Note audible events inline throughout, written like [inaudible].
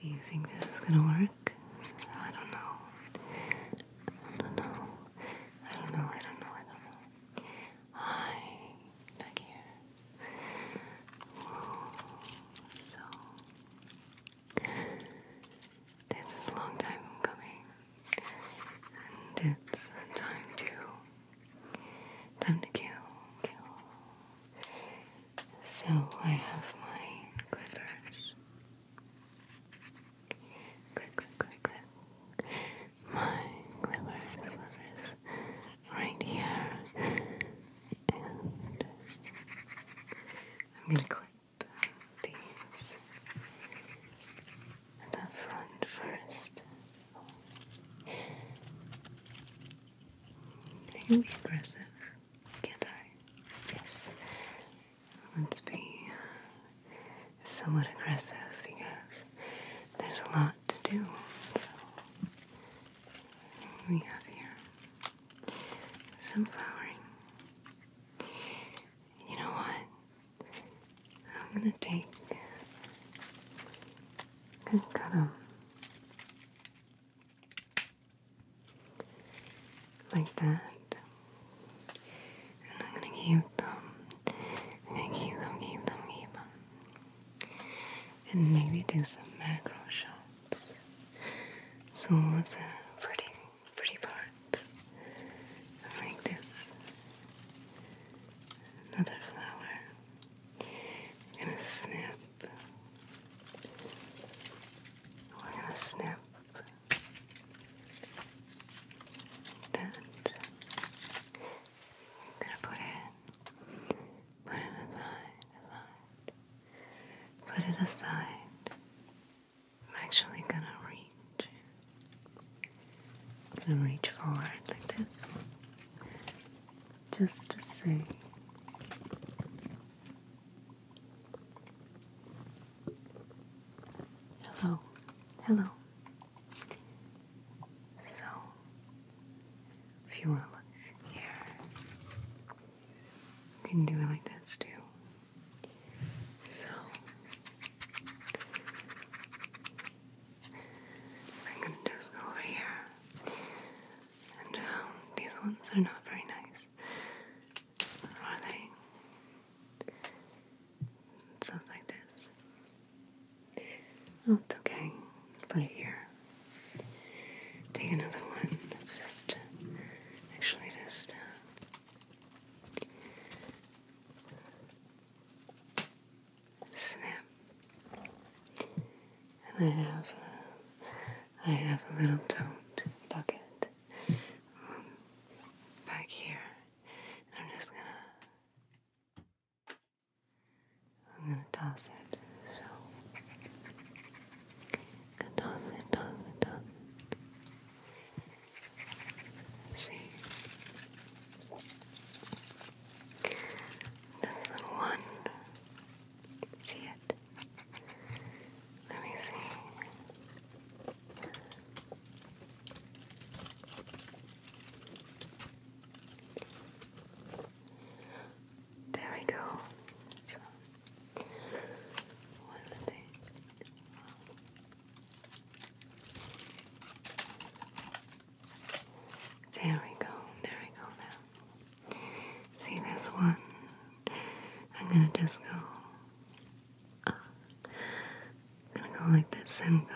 Do you think this is gonna work? I don't know. I don't know. I don't know. I don't know. I don't know. Hi, back here. So this is a long time coming, and it's time to time to kill. So I have my clippers. Clip, clip, clip, clip. My clippers, clippers, right here. And I'm gonna clip these at the front first. can be aggressive can't I? Yes. Let's be somewhat aggressive because there's a lot to do. we have here some flowering. You know what? I'm gonna take cut them like that. And I'm gonna keep them. I'm gonna keep them, keep them, keep them. And maybe do some macro shots. So with the pretty, pretty part, like this. Another flower. I'm snip we're gonna snip that. I'm gonna put it, put it aside, put it aside. I'm actually gonna reach. gonna reach forward like this, just to see Hello, hello. So, if you want to look here, you can do it like this too. So, I'm gonna just go over here. And um, these ones are not very nice. Are they? Stuff like this. Oh, it's okay. Put it here. Take another one. It's just, actually, just. Uh, snap. And I have uh, I have a little tote bucket um, back here. I'm just gonna, I'm gonna toss it. So, toss it, toss it, toss it. see, this little one see it? Let me see. There we go. There we go, there we go now. See this one? I'm gonna just go. Uh, gonna go like this and go.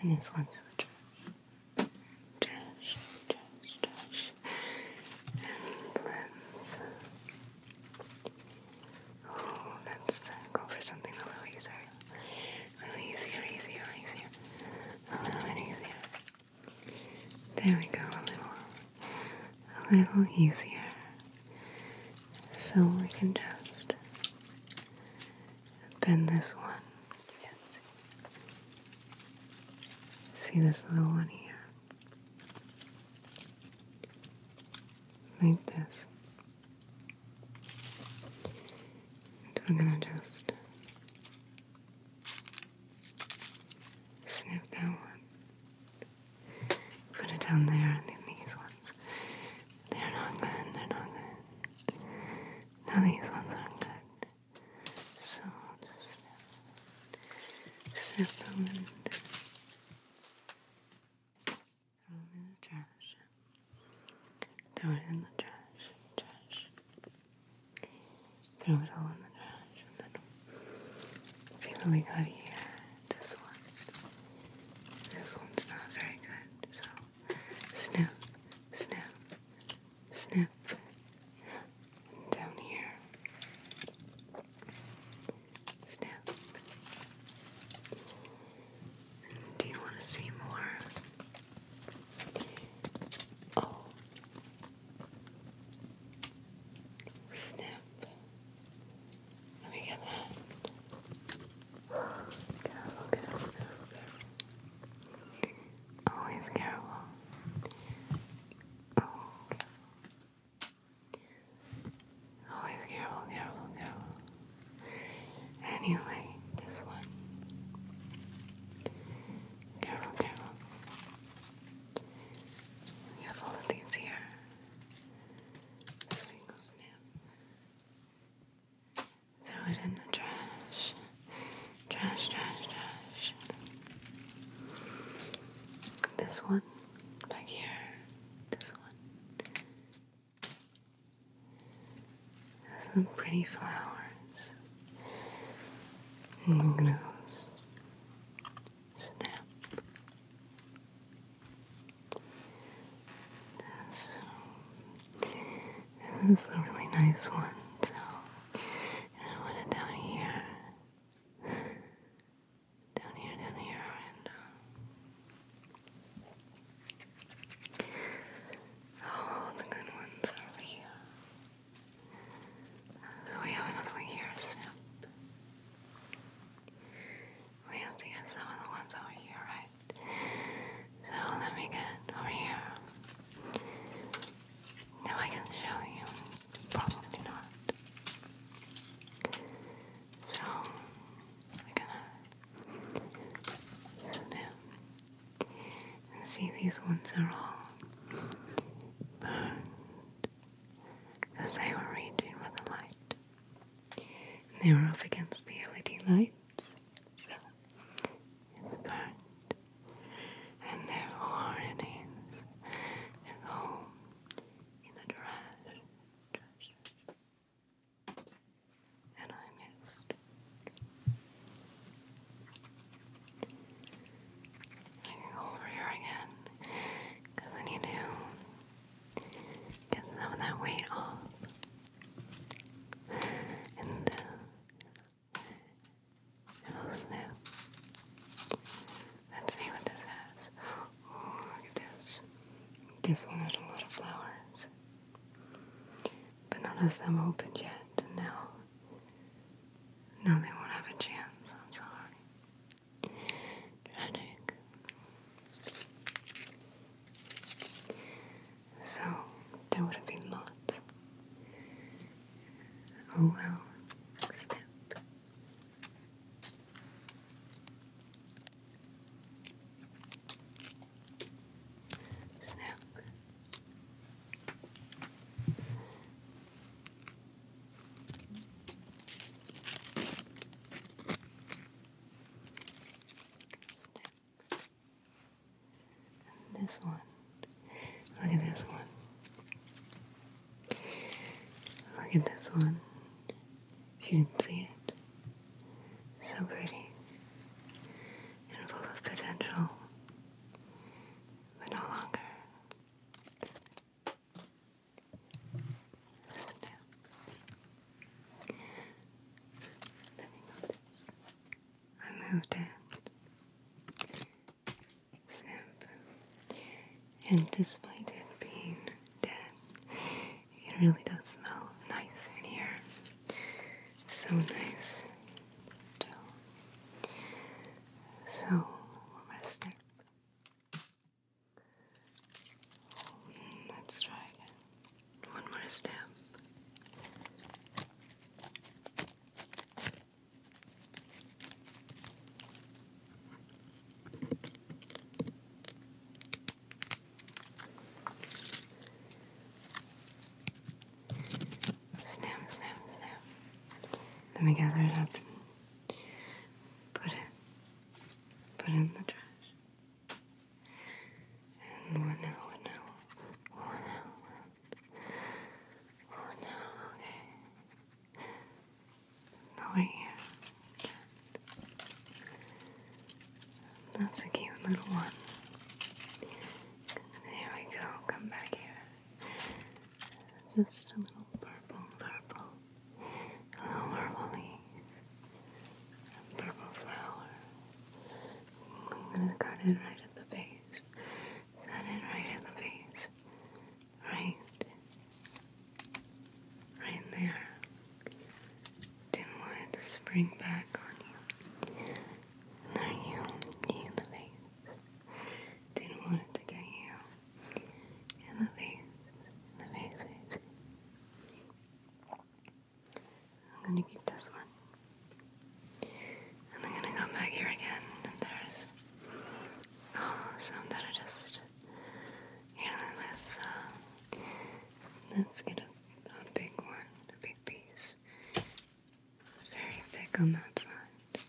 And this one's in the trash. Oh, let's go for something a little easier. Really easier, easier, easier. A little easier. There we go, a little, a little easier. So we can just bend this one. See this little one here? Like this. And we're gonna just snip that one, put it down there, and then these ones. They're not good, they're not good. Now these ones aren't good. So just snip, snip them Throw it in the trash. Throw it in the trash. Trash. Throw it all in the trash. see what we got here. This one. This one's not very good. So snap. Snap. sniff. down here. Snip. Do you want to see more? Oh. Snip. Let me get that. Always careful. Oh. Always careful, careful, careful. Anyway, this one. Carol, Carol. We have all of these here. So snip. Throw it in the trash. Trash, trash, trash. This one back here. This one. Some pretty flowers and glows. Snap. This, this is a really nice one, so I want it down here. Down here, down here, uh, all oh, the good ones are over here. So we have another one here, Snip. We have to get some of the ones over here, right? So let me get over here. Now I can show you. Probably not. So, we're gonna so see these ones are all burned because they were reaching for the light. they were up against the LED lights, so it's burned. And therefore it is to go in the trash and I missed. I can go over here again because I need to get some of that weight off. And uh, Let's see what this has. Oh, look at this. This one had a lot of flowers. But none of them opened yet, and now, now they won't have a chance. I'm sorry. Tragic. So, there would have been lots. Oh well, snap. Snap. Snap. this one. Look at this one. Look at this one. If you can see it. So pretty and full of potential, but no longer. Snap. Let me move this. I moved it. And despite it being dead, it really does smell nice in here. So nice. So, one more step. Let's try again. One more step. Snap, snap, snap. Then we gather it up and put it, put it in the trash. And what now, what now, what now, what now, okay. Now we're here. That's a cute little one. There we go. Come back here. Just a little purple, purple. A little purple leaf. purple flower. I'm gonna cut it right at the base. Cut it right at the base. Right. Right there. Didn't want it to spring back on you. Nor you, you in the face. Didn't want it to get you. In the face. In the face, face, I'm gonna keep this one. And I'm gonna come back here again and there's oh some that are just here let's uh, let's get a a big one, a big piece very thick on that side,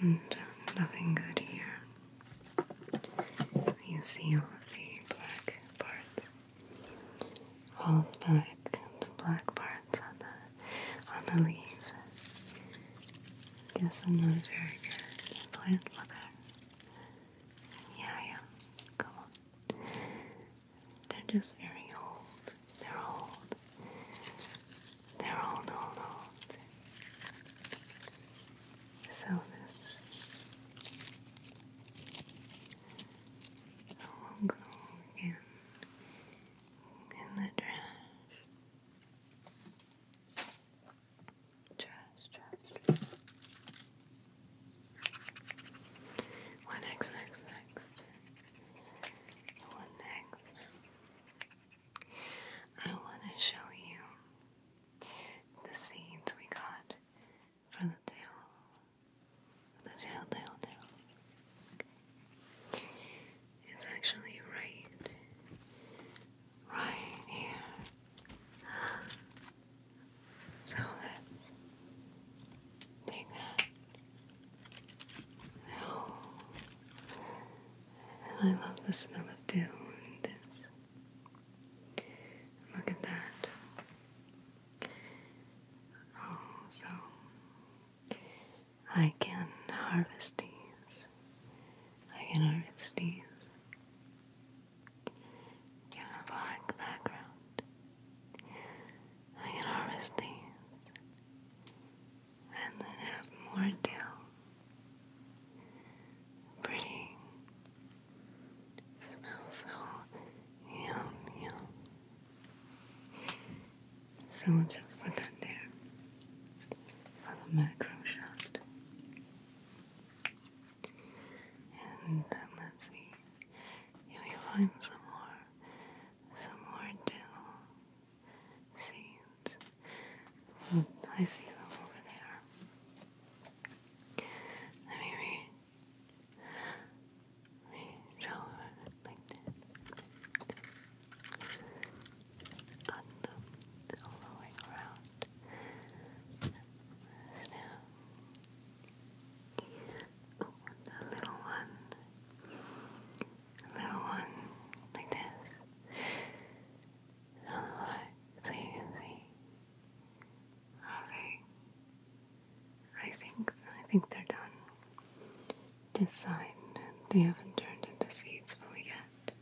and um, nothing good here. You see all of the black parts, all the black, the black parts on the on the leaves. Guess I'm not a very good plant mother. Yeah, yeah. Come on. They're just very old. They're old. They're old, old, old. So this will go in in the trash. Trash, trash, trash. What next, next, next? What next? I want to show you the seeds we got for the tail. the tail, tail, tail. It's actually right, right here. So let's take that. Oh. And I love the smell of dew this. Look at that. Oh, so I can harvest these. I can harvest these. You have a black background. I can harvest these and then have more dill. Pretty. Smells so yum yum. So we'll just put that there for the macro shot. And uh, let's see you will find some more, some more dill seeds. Mm, I see them over there. Let me read. Reach over like that. On all the way around. Snap. Yeah the little one, little one, like this, so you can see. Okay, I think I think they're done. This side, they haven't turned into seeds fully yet.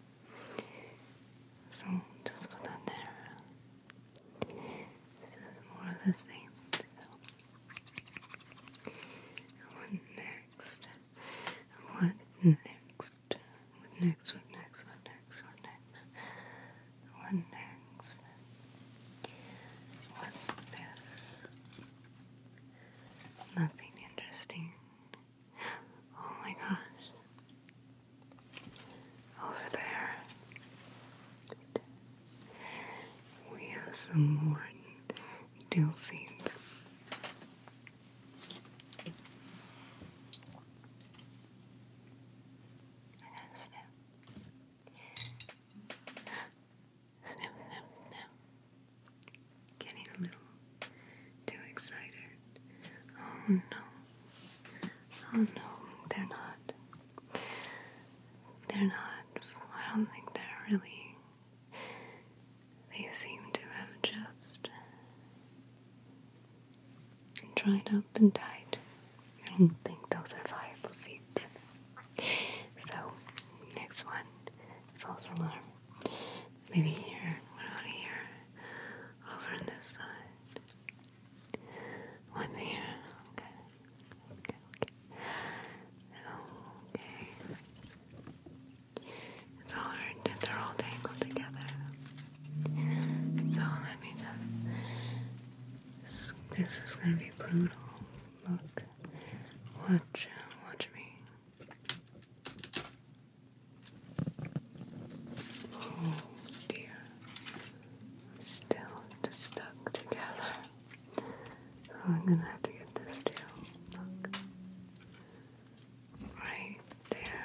So just put that there. This is more of the same. what next? What next? What next? What next? What next? What next? What this? Nothing interesting. Oh my gosh. Over there. We have some more dill seeds. Snip, snip, snip. Getting a little too excited. Oh no. Oh no, they're not. They're not, I don't think they're really, they seem to have just dried up and died. I don't think those are viable seeds. So, next one false alarm. Maybe here, what about here? Over on this side. One here. Okay. Okay. Okay. It's all hard that they're all tangled together. So let me just. this is gonna be brutal. Look. Watch. Watch me. Oh dear. Still stuck together. So I'm gonna have to get this too. Look. Right there,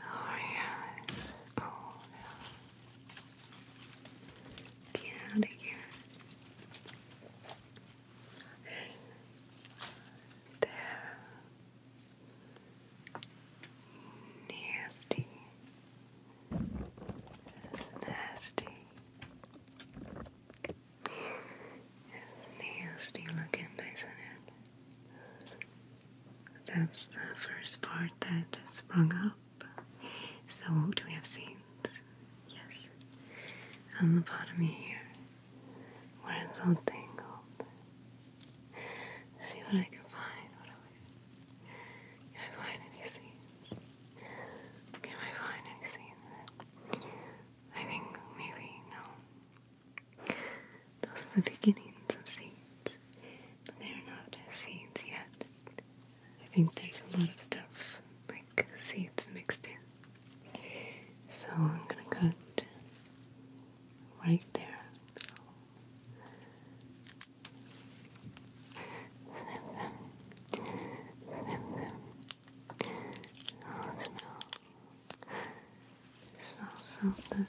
Oh yeah. Oh yeah. Get out here. There. Nasty. nasty. It's nasty looking, isn't it? That's the first part that sprung up. So do we have scenes? Yes. On the bottom here. Where it's all tangled. See what I can find. Can I find any scenes? Can I find any scenes I think maybe no. Those are the beginnings of seeds. they're not seeds yet. I think there's a lot of stuff like seeds mixed in. So I'm gonna cut right there snip, snip, snip. Oh, it smells. so good.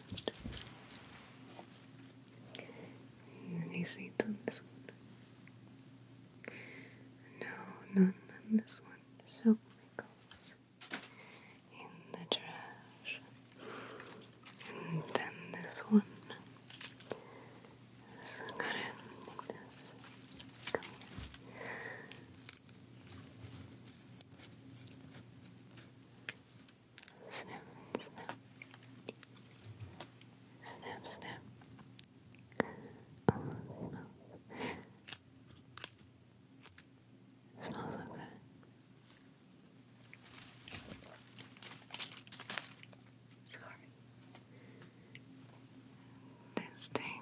Any seeds on this one? No, none on this one. So pickles in the trash. And then this one. So I to make this. Go. Snip, snip. Snip, Oh, Smells so good. Sorry. This thing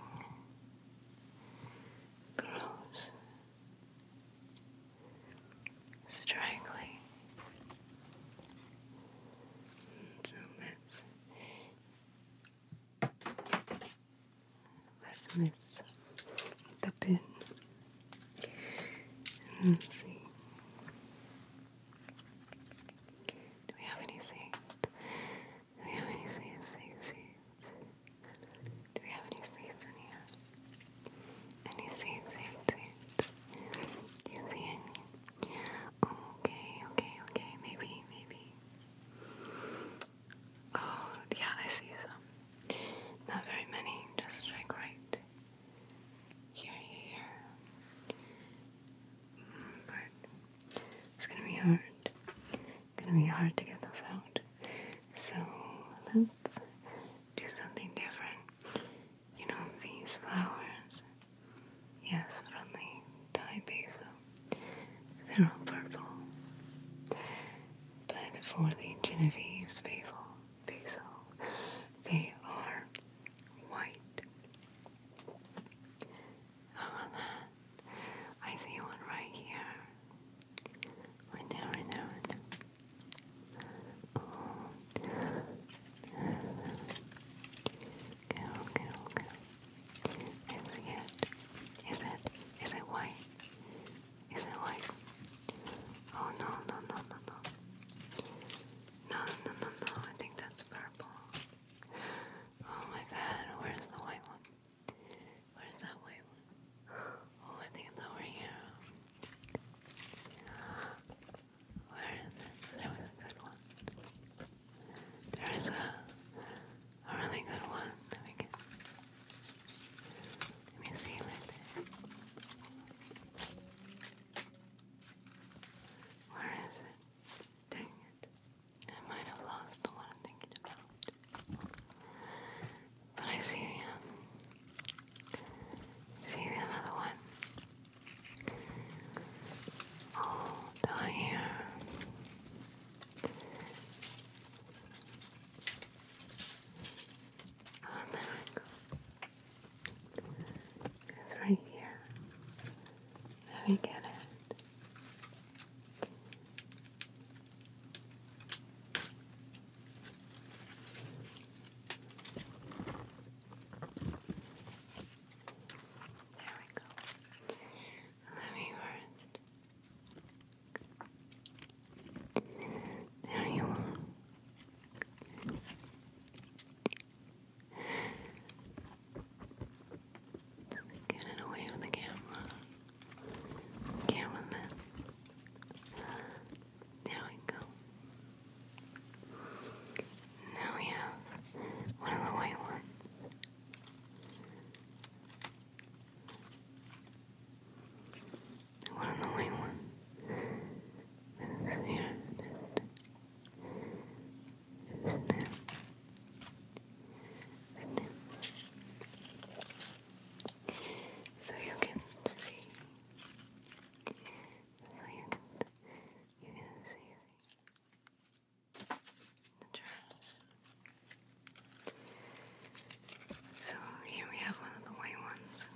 grows strangling so let's let's miss the pin Let's see. Do we have any seeds? Do we have any seeds? Seeds, Do we have any seeds in here? Any seeds, seeds, seeds? Do you see any? Okay, okay, okay. Maybe, maybe. Oh, yeah, I see some. Not very many. Just like right yeah, yeah, here. But it's gonna be hard. It's gonna be hard to get those out. So let's do something different. You know these flowers. Yes, from the Thai basil. They're all purple. But for the Genovese people basil. They are white. How I see one right here. Right there, right there, Oh. Okay, okay, okay. Is it? Is it? Is it white? Is it white? Oh no, no, no, no, no. No, no, no, no. I think that's purple. Oh my god, where's the white one? Where's that white one? Oh, I think it's over here. Where is it? There was a good one. There is a, a really good one. Let me, get, let me see it. Right where is it? Dang it. I might have lost the one I'm thinking about. But I see, um, see the other one. Oh, down here. Oh, there we go. It's right here. Let me get it. There we go. Let me burn. There you are. Get it away with the camera. Get with There we go. Now we have one of the white ones the one on the white one. This is here. This there. So you can see. So you can you can see the trash. So here we have one of the white ones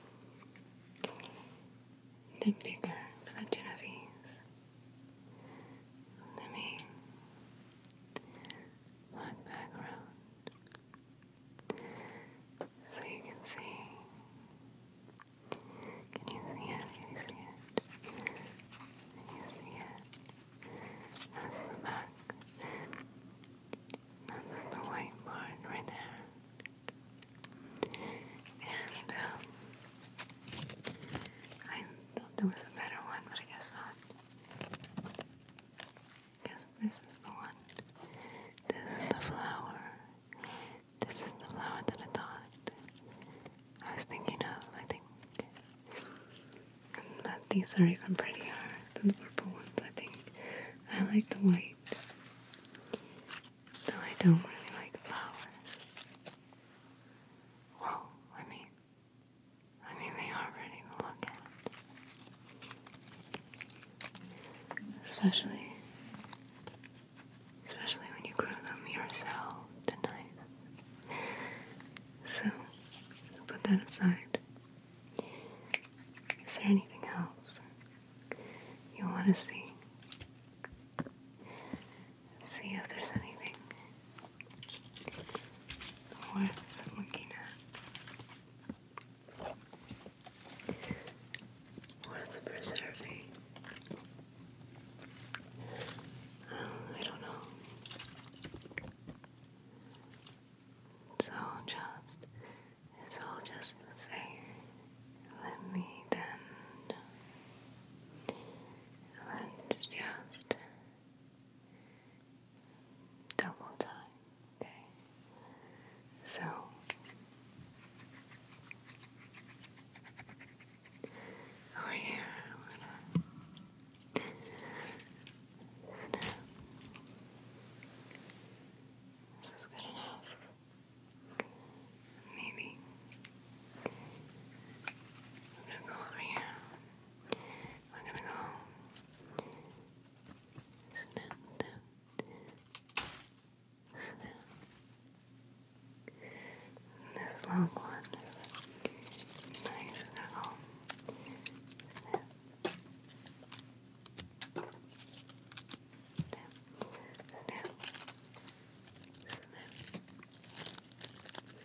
the bigger Legend of Ease. Let me look back around so you can see. Can you see it? you see it? you see it? That's the back. That's the white part right there. And um, I thought there was a better one, but I guess not. I this is the one. This is the flower. This is the flower that I thought I was thinking of, I think. But these are even prettier than the purple ones, I think. I like the white. No, I don't really like flowers. Well, I mean, I mean they are look at. Especially, especially when you grow them yourself tonight. So, put that aside. Is there anything else you want to see. See if there's anything worth looking at, worth preserving. Um, I don't know. So just it's all just the same. Let me then. Let's just double time. Okay. So. Over here, This is good enough. Maybe. I'm gonna go over here. I'm gonna go. Snap, snap, snap. This long one. Nice, I'm gonna go snap, snap, snap, snap, there, snap, snap,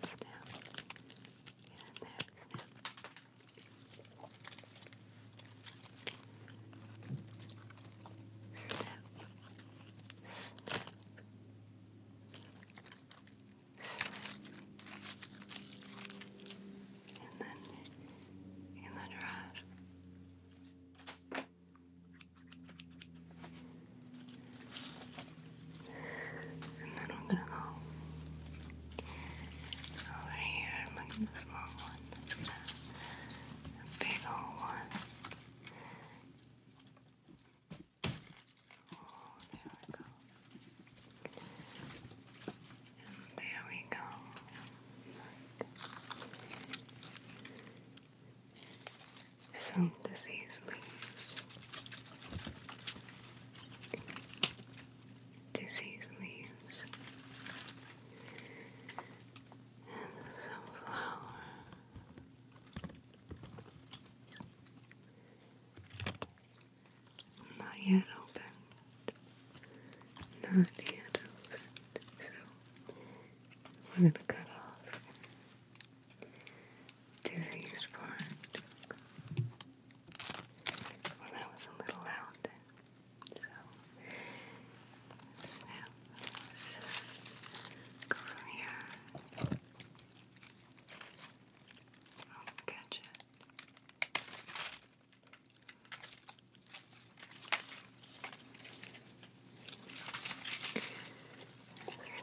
and then in the garage. And then I'm gonna go over here look at this long one. big old one. Oh, there we go. And there we go. Some disease leaves. Disease leaves and the sunflower. Not yet opened. Not yet opened. So I'm going to cut off diseased part. Well, that was a little loud. So, go from here. I'll catch it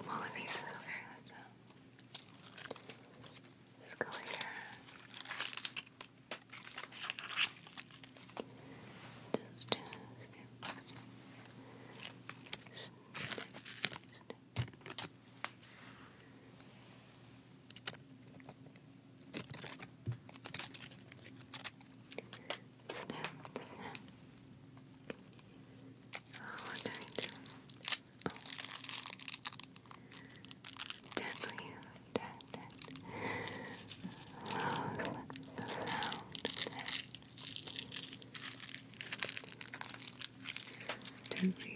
smaller pieces, okay, Let's go here. Just do snip, snip. Oh, what did I do? Oh. Deadly, dead, dead. Love the sound of that. Deadly,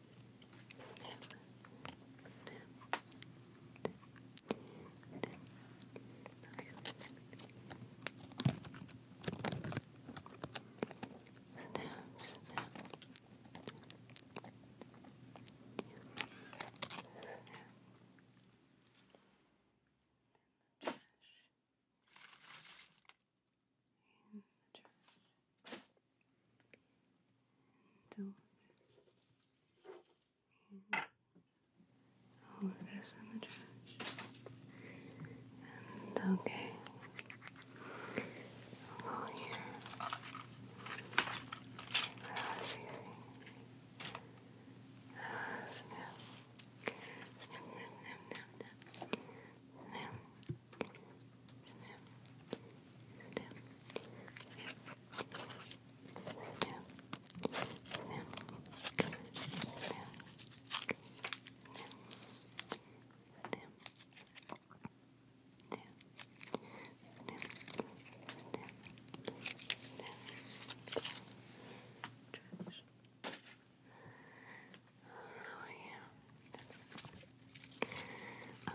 snip, snip, snip, snip, snip, snip, in the church do this. all of this in the trash. okay. i here. That was easy. Uh, snip. Snip, snip, snip, I'm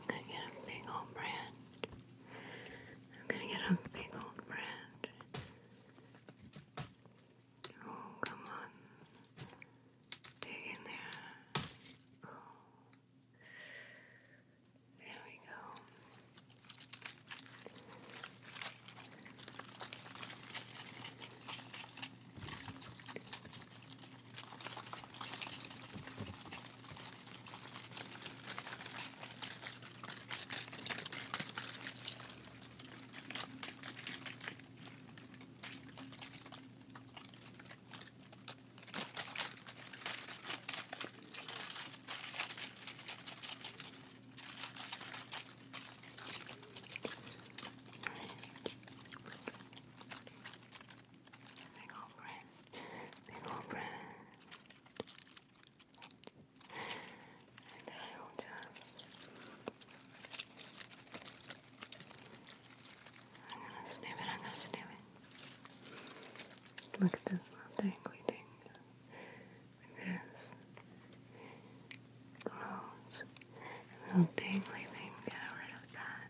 gonna get a big old branch. I'm gonna get a big old branch. Oh, come on. Dig in there. Oh. There we go. Big old brand, big old brand, and I will just. I'm gonna snip it, I'm gonna snip it. Look at this little dangly thing. this. Rose. little dangly thing, get rid of that.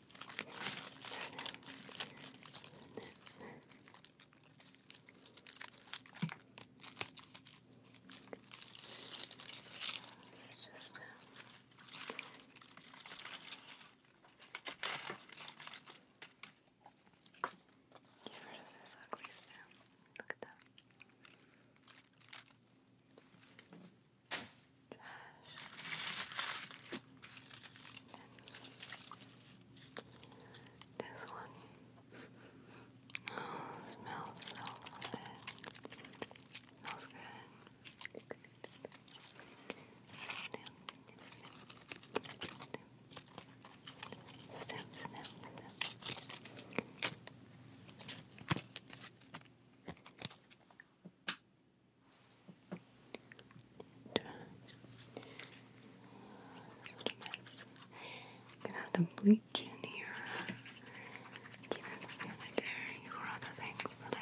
It's just Get rid of this ugly snow. Look at that. This one oh, smells so good. Smells good. Snip, snip, snip, snip, snip, snip. Trash. i gonna have to bleach in here. Keep it sanitary for other things that I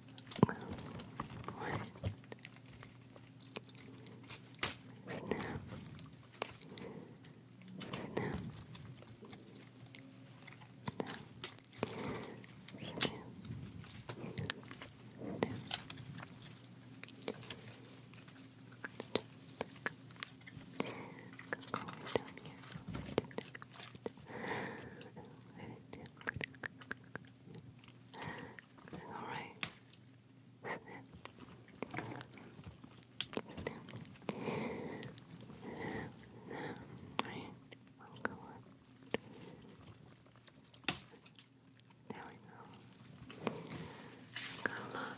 one, snap, snap, snap, snap. Go down here. Alright. Snip. Snip. Snip. Snip. Right. We'll go on. There we go. Got a lot.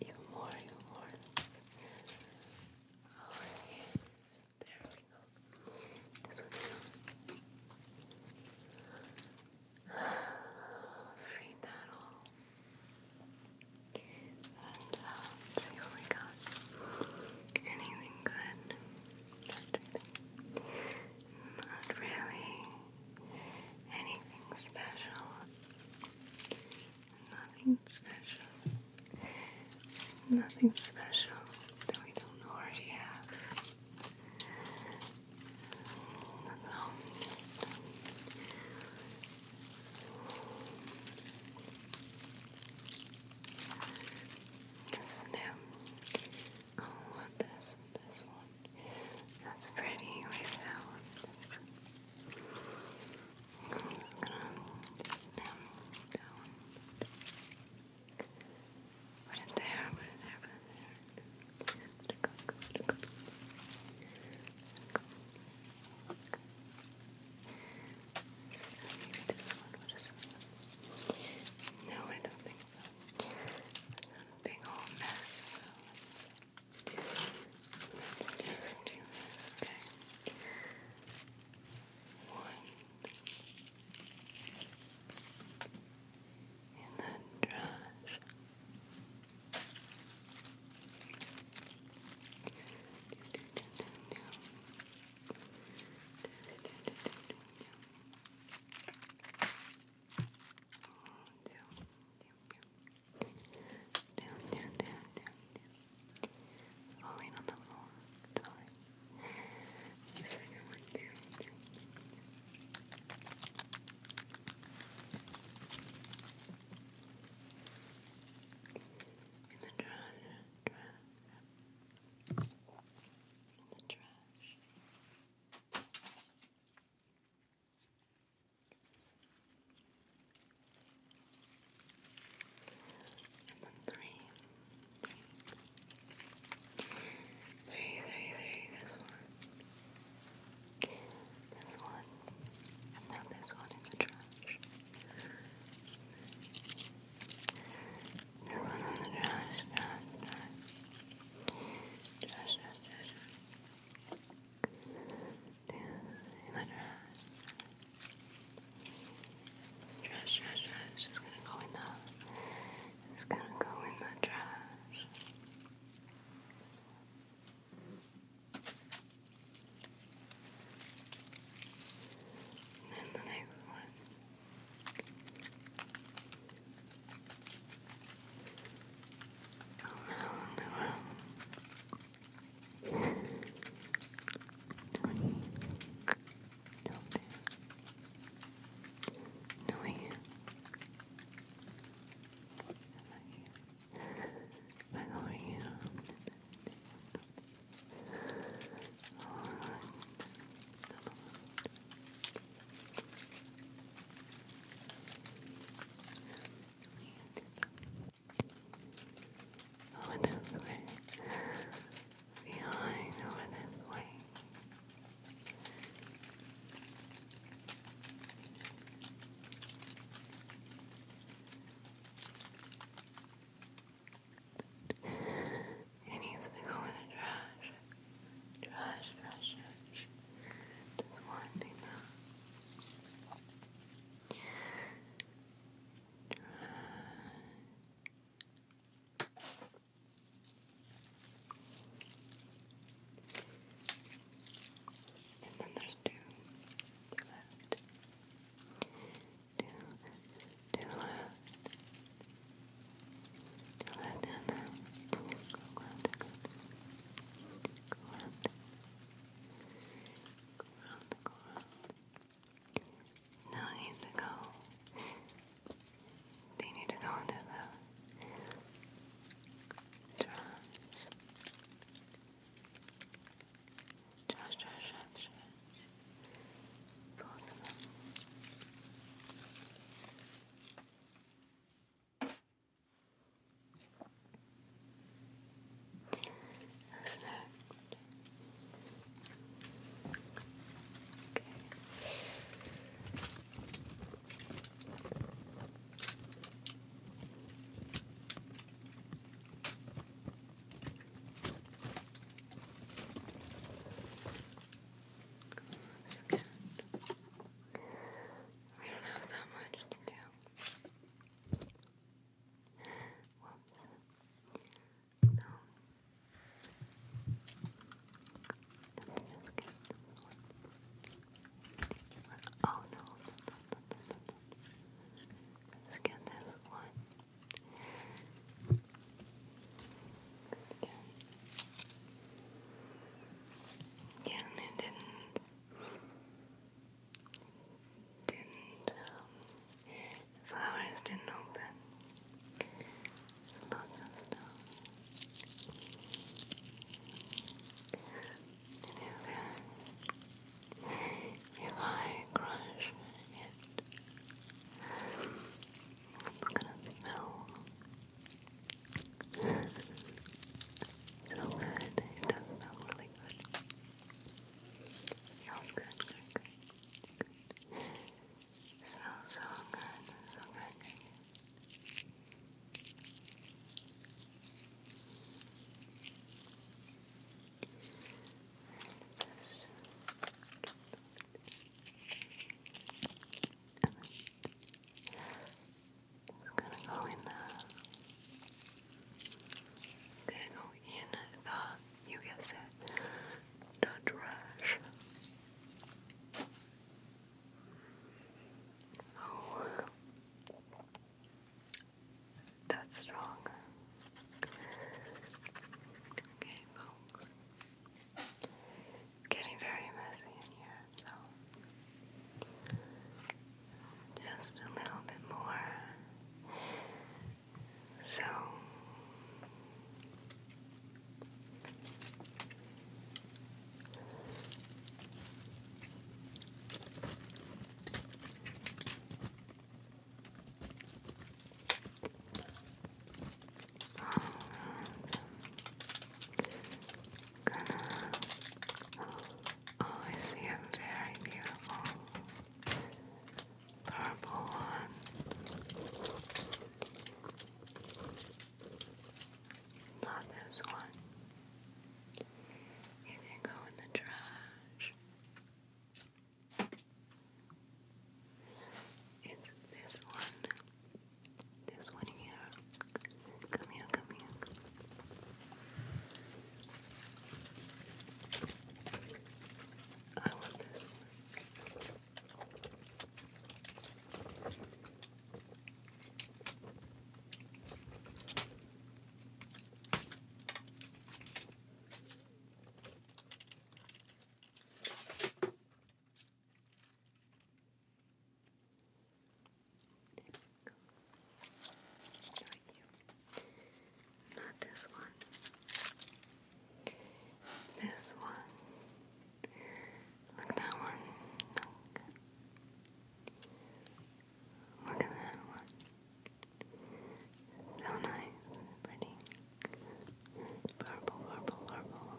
You more, you more. Oh there we go. This [sighs] was you. Free that all and um, uh, see got anything good. Not really anything special. Nothing special. Nothing special that we don't already have. No, Oh, this new. Oh, this this one. That's pretty with that I'm just gonna this that one. Put there, put there, put there. Is it No, I don't think so. That's a big old mess, so let's, just do this, okay? One. In the trash down, down, down, down. Falling on the floor. Sorry. The second one, down, down, down. In the trash, trash in the trash. And then three, three, three, three, three, this one, this one, and now this one in the trash. The one on the dress, dress, dress. Dress, dress, dress. The other in the dress. Dress, dress, dress. It's gonna go in the. It's gonna go in the dress. This one. And then the next one. Oh no, no, no. Twenty. No, no, here. Over this way. Behind, over this way. Good. It needs to go in the trash. Trash, trash, Trash. And then there's two left to, to left, to left and then go around, go around, go around, go around. Now I need to go, they need to go into the trash. Josh, Josh, Josh, Josh. Both of them. That's next. That's good. We don't have that much to do. Oh no. Let's get this one. Yeah. Yeah, it didn't, didn't, um, flowers didn't open. if I crush it, it's gonna smell so good. It does smell really good. Smells good, good, good, smells so good, so good. I'm gonna go in there. I'm gonna go in the, you guess it, the trash. Oh that's strong. Okay, folks. Getting very messy in here, so just a little bit more. So Oh, I see a very beautiful purple one. Not this one. You can go in the trash. It's this one. This one here. Come here, come here. I want this one. Not you. this one. This one. Look that one. Look at that one. So nice, pretty. Purple, purple, purple.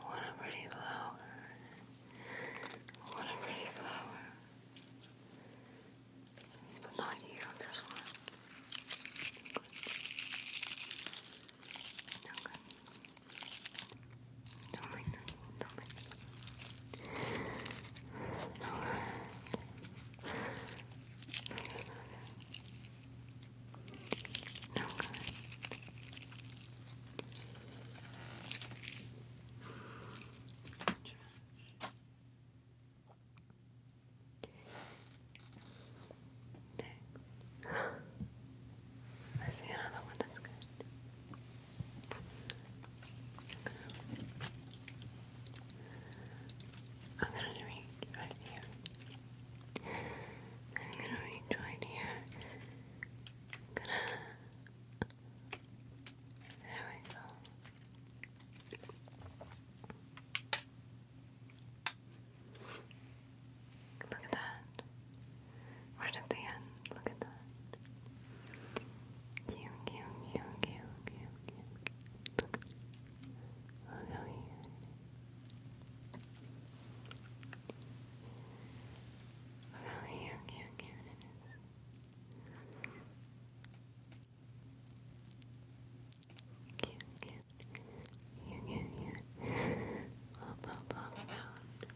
What a pretty flower. What a pretty flower. But not you, this one. Good. No good. Don't make Don't make no good. Next. I see another one that's good. I'm gonna I'm gonna reach right here. I'm gonna reach right here. gonna. There we go. Look at that. Right at the end. Look at that. Cute, cute, cute, cute, cute, cute. We'll go Look how young, young, young it is. Cute, cute. Young, young, young. Up, up, up, down.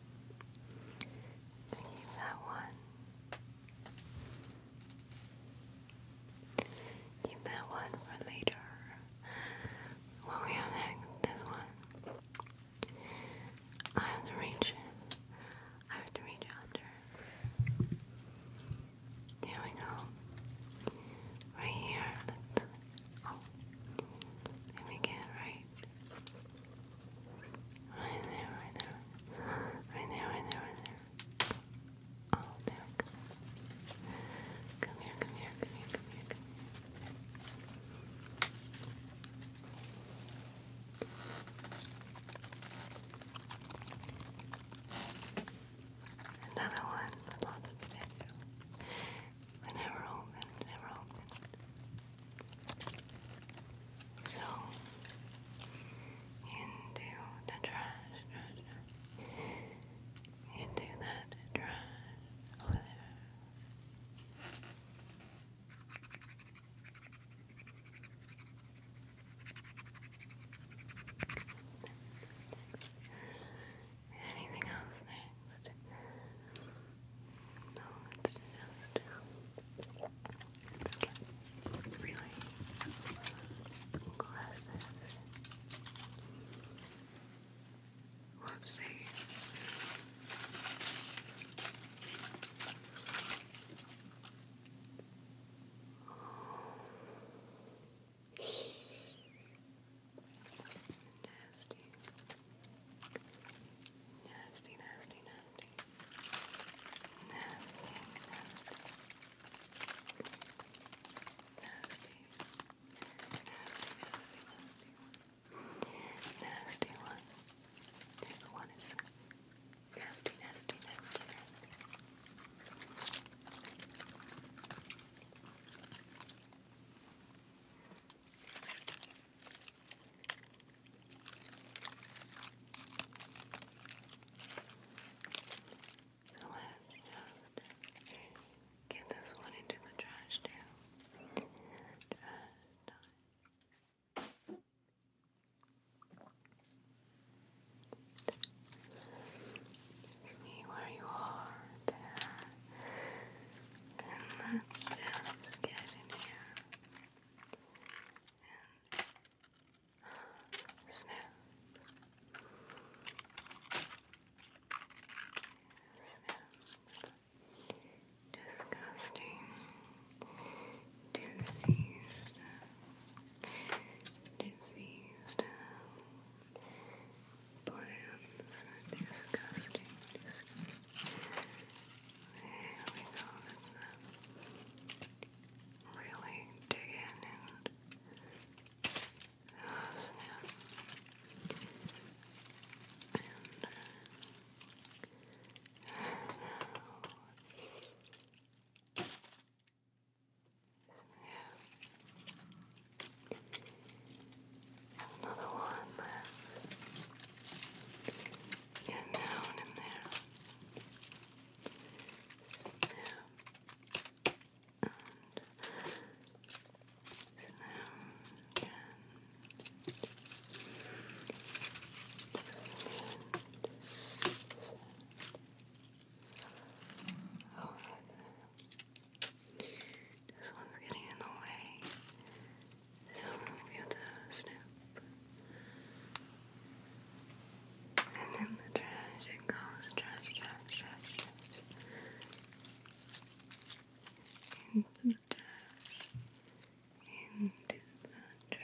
Keep that one. Keep that one for later. What we have next, this one. I have to reach. I have to reach under. There we go. Right here. oh, let me get right. Right there, right there, right there, right there, right there. Oh, there Come here, come here, come here, come here, Another one, I never opened, never opened. So, into the trash into that dry over there. Anything else next? No, it's just, really aggressive. Whoopsie. Nasty, nasty, nasty. Nasty, nasty nasty, nasty one. This one is nasty, nasty, nasty, nasty. This so let's just get this one into the trash too. See where you are there. And let's just get in here Snip. Snip. Disgusting. Diseased. Diseased. Plans. Disgusting. Disgusting. Really dig in so now, Yeah. another one that's getting down in there. Yeah and slow down Oh, this one's getting in the way. So we'll be to snap. And in the trash it goes, trash, trash, trash, trash. Into the trash. Into the trash it goes.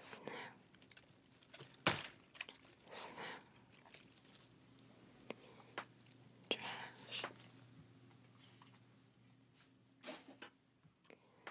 Snow. Snow. Trash. Now, now,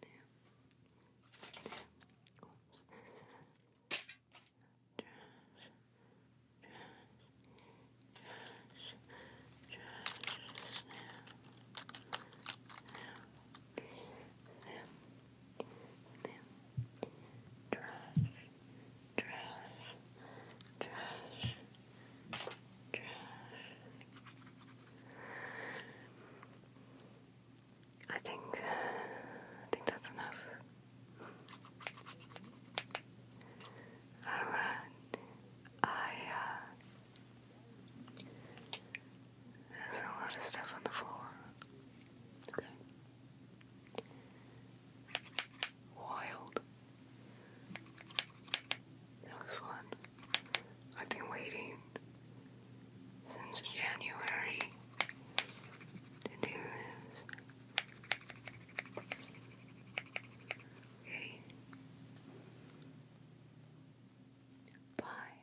damn, oops, trash, trash, trash, trash, snap, snap, snap, snap, trash, trash, trash, trash. I think uh, I think that's enough. I uh, there's a lot of stuff on the floor. wild. That was fun. I've been waiting since January to do this. Okay. Bye.